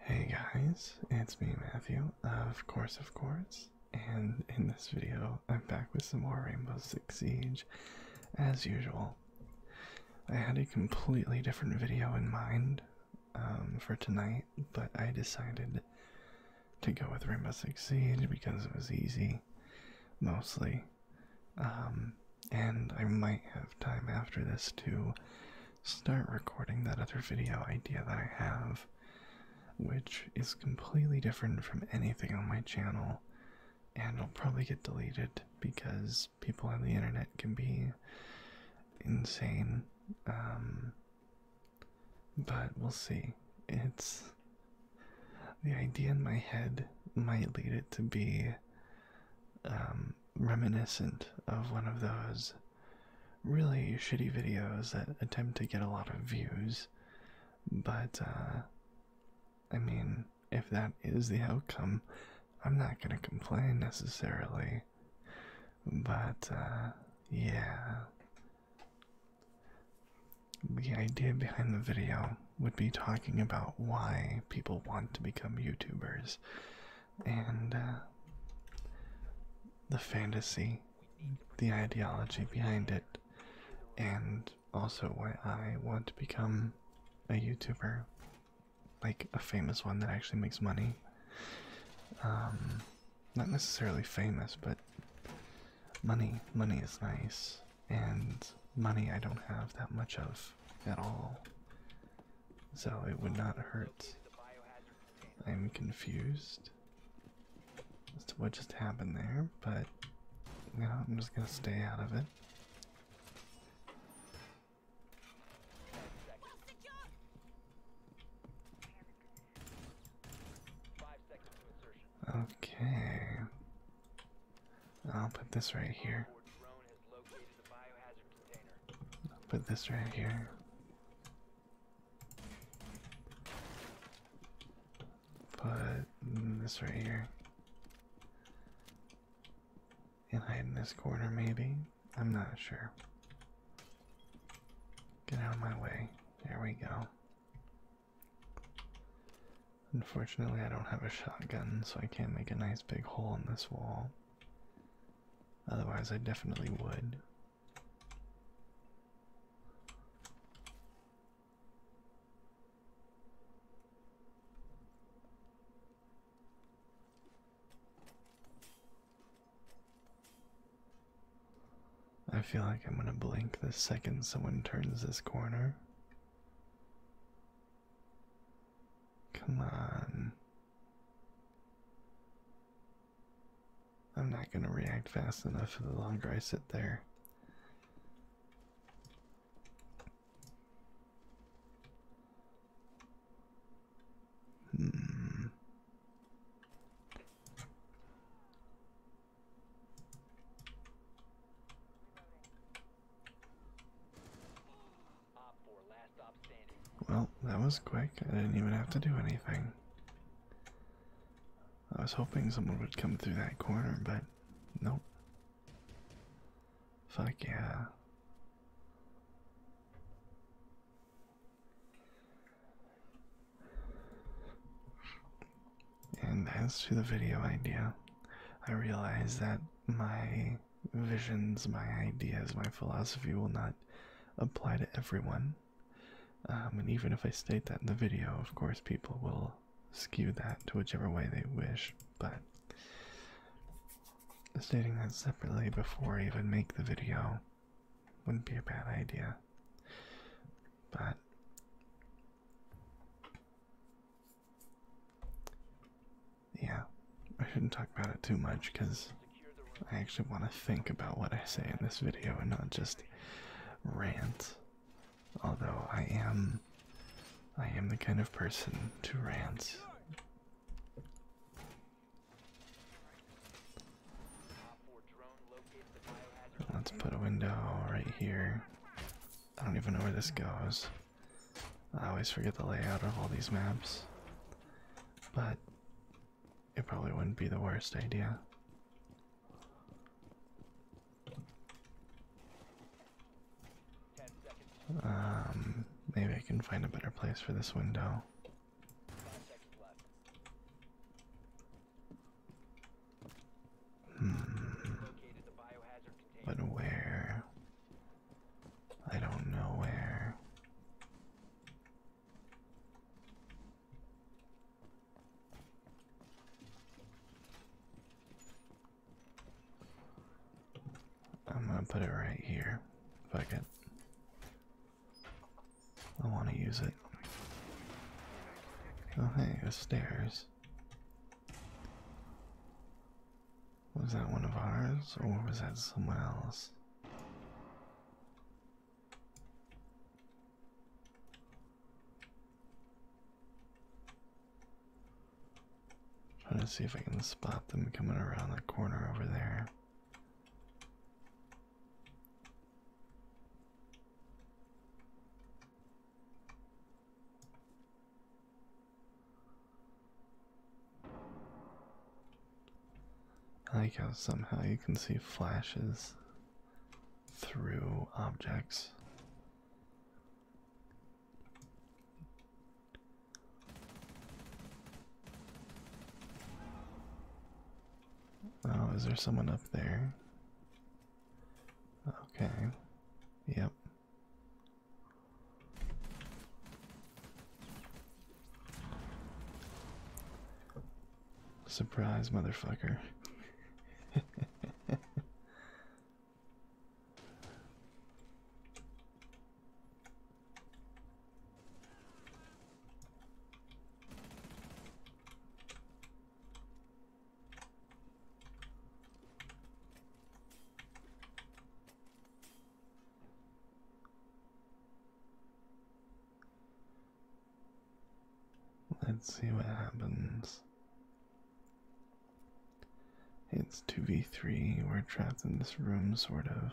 Hey guys, it's me Matthew, of course of course, and in this video I'm back with some more Rainbow Six Siege, as usual. I had a completely different video in mind um, for tonight, but I decided to go with Rainbow Six Siege because it was easy, mostly, um, and I might have time after this to start recording that other video idea that I have, which is completely different from anything on my channel, and it'll probably get deleted because people on the internet can be insane. Um, but we'll see. It's the idea in my head might lead it to be um, reminiscent of one of those really shitty videos that attempt to get a lot of views. But, uh, I mean, if that is the outcome, I'm not gonna complain necessarily. But, uh, yeah. The idea behind the video would be talking about why people want to become YouTubers and uh, the fantasy, the ideology behind it, and also why I want to become a YouTuber, like a famous one that actually makes money. Um, not necessarily famous, but money, money is nice, and money I don't have that much of at all. So it would not hurt. I'm confused as to what just happened there, but you I'm just gonna stay out of it. Okay. I'll put this right here. Put this right here. Put this right here. And hide in this corner, maybe? I'm not sure. Get out of my way. There we go. Unfortunately, I don't have a shotgun, so I can't make a nice big hole in this wall. Otherwise, I definitely would. I feel like I'm gonna blink the second someone turns this corner. Come on. I'm not going to react fast enough for the longer I sit there. Hmm. Well, that was quick. I didn't even have to do anything. I was hoping someone would come through that corner, but nope. Fuck yeah. And as to the video idea, I realize that my visions, my ideas, my philosophy will not apply to everyone. Um, and even if I state that in the video, of course, people will skew that to whichever way they wish. But stating that separately before I even make the video wouldn't be a bad idea. But yeah, I shouldn't talk about it too much because I actually want to think about what I say in this video and not just rant. Although I am, I am the kind of person to rant. Let's put a window right here. I don't even know where this goes. I always forget the layout of all these maps. But it probably wouldn't be the worst idea. Um, maybe I can find a better place for this window. Hmm. But where? I don't know where. I'm gonna put it right here. If I can. I want to use it. Oh, hey, there's stairs. Was that one of ours or was that someone else? Let's see if I can spot them coming around the corner over there. I like how somehow you can see flashes through objects. Oh, is there someone up there? Okay. Yep. Surprise, motherfucker. Let's see what happens. It's 2v3, we're trapped in this room, sort of.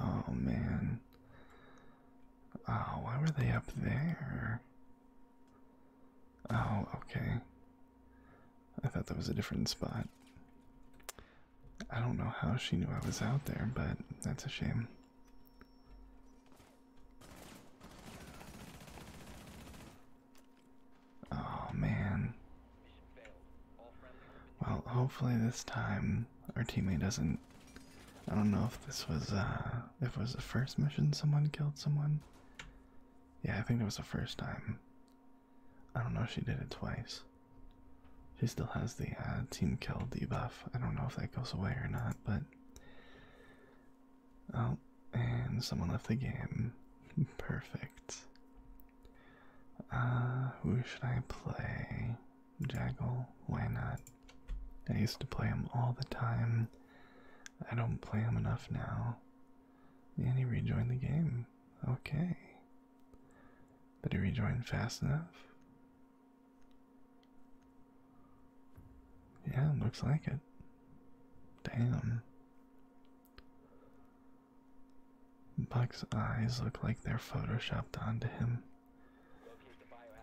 Oh man. Oh, why were they up there? Oh, okay. I thought that was a different spot. I don't know how she knew I was out there, but that's a shame. Oh man. Well, hopefully this time our teammate doesn't. I don't know if this was uh if it was the first mission someone killed someone. Yeah, I think it was the first time. I don't know, she did it twice. She still has the uh, team kill debuff. I don't know if that goes away or not, but. Oh, and someone left the game. Perfect. Uh, who should I play? Jaggle? Why not? I used to play him all the time. I don't play him enough now. And he rejoined the game. Okay. Did he rejoin fast enough? Yeah, looks like it. Damn. Buck's eyes look like they're photoshopped onto him.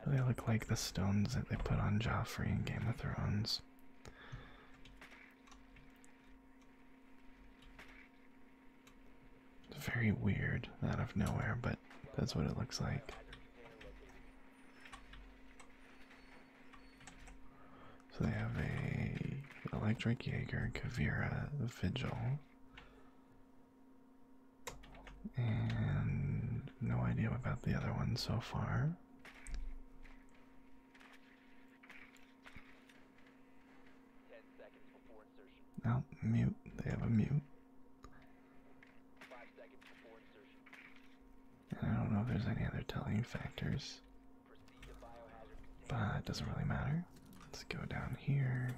They look like the stones that they put on Joffrey in Game of Thrones. It's very weird out of nowhere, but that's what it looks like. So they have a electric Jaeger, Kavira, Vigil, and no idea about the other one so far. No, mute. They have a mute. I don't know if there's any other telling factors. But it doesn't really matter. Let's go down here.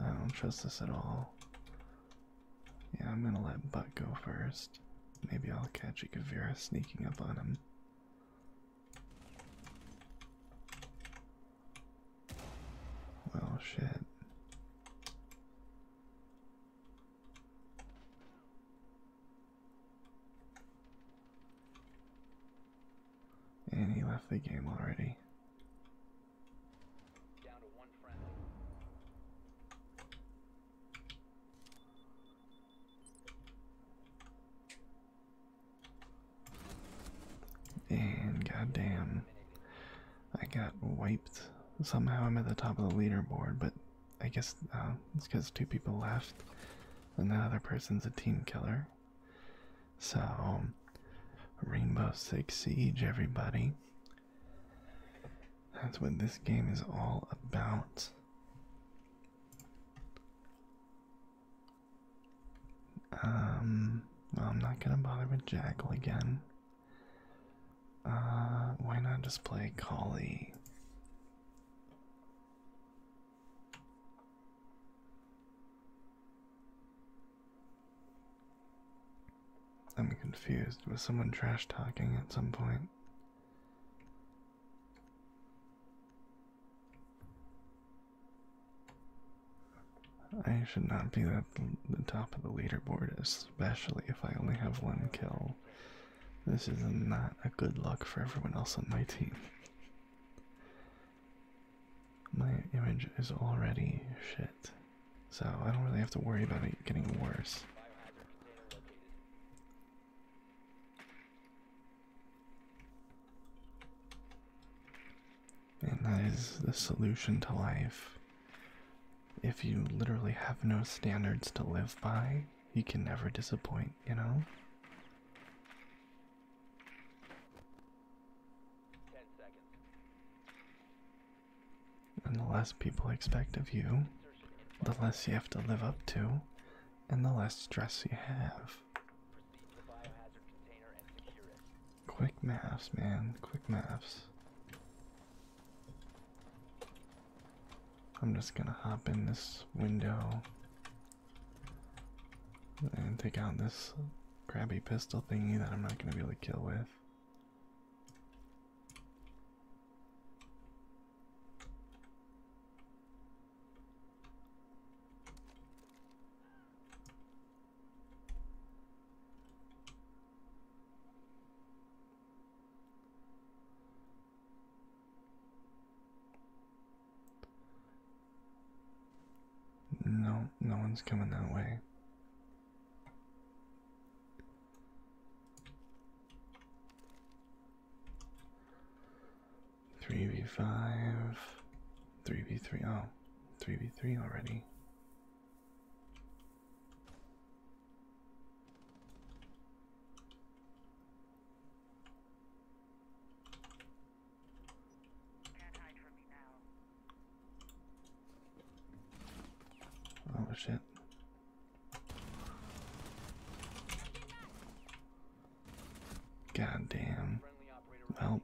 I don't trust this at all. Yeah, I'm gonna let Butt go first. Maybe I'll catch Ikavira sneaking up on him. Well, shit. And he left the game already. Down to one And goddamn, I got wiped. Somehow I'm at the top of the leaderboard, but I guess uh, it's because two people left, and that other person's a team killer. So, um, Rainbow Six Siege, everybody. That's what this game is all about. Um, I'm not gonna bother with Jackal again. Uh, why not just play Collie? I'm confused. Was someone trash talking at some point? I should not be at the top of the leaderboard, especially if I only have one kill. This is not a good look for everyone else on my team. My image is already shit, so I don't really have to worry about it getting worse. And that is the solution to life. If you literally have no standards to live by, you can never disappoint, you know? And the less people expect of you, the less you have to live up to, and the less stress you have. Quick maths, man. Quick maths. I'm just gonna hop in this window and take out this grabby pistol thingy that I'm not gonna be able to kill with. No, no one's coming that way. Three b five, three b three. Oh, three b three already. Oh shit. God damn. Well,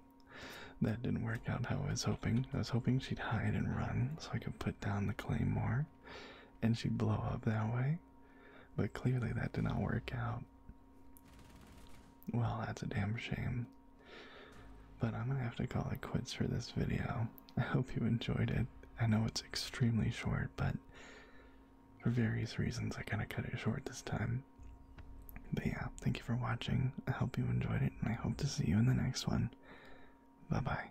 that didn't work out how I was hoping. I was hoping she'd hide and run so I could put down the claymore and she'd blow up that way. But clearly that did not work out. Well, that's a damn shame. But I'm gonna have to call it quits for this video. I hope you enjoyed it. I know it's extremely short, but for various reasons I kind of cut it short this time. But yeah, thank you for watching. I hope you enjoyed it, and I hope to see you in the next one. Bye bye.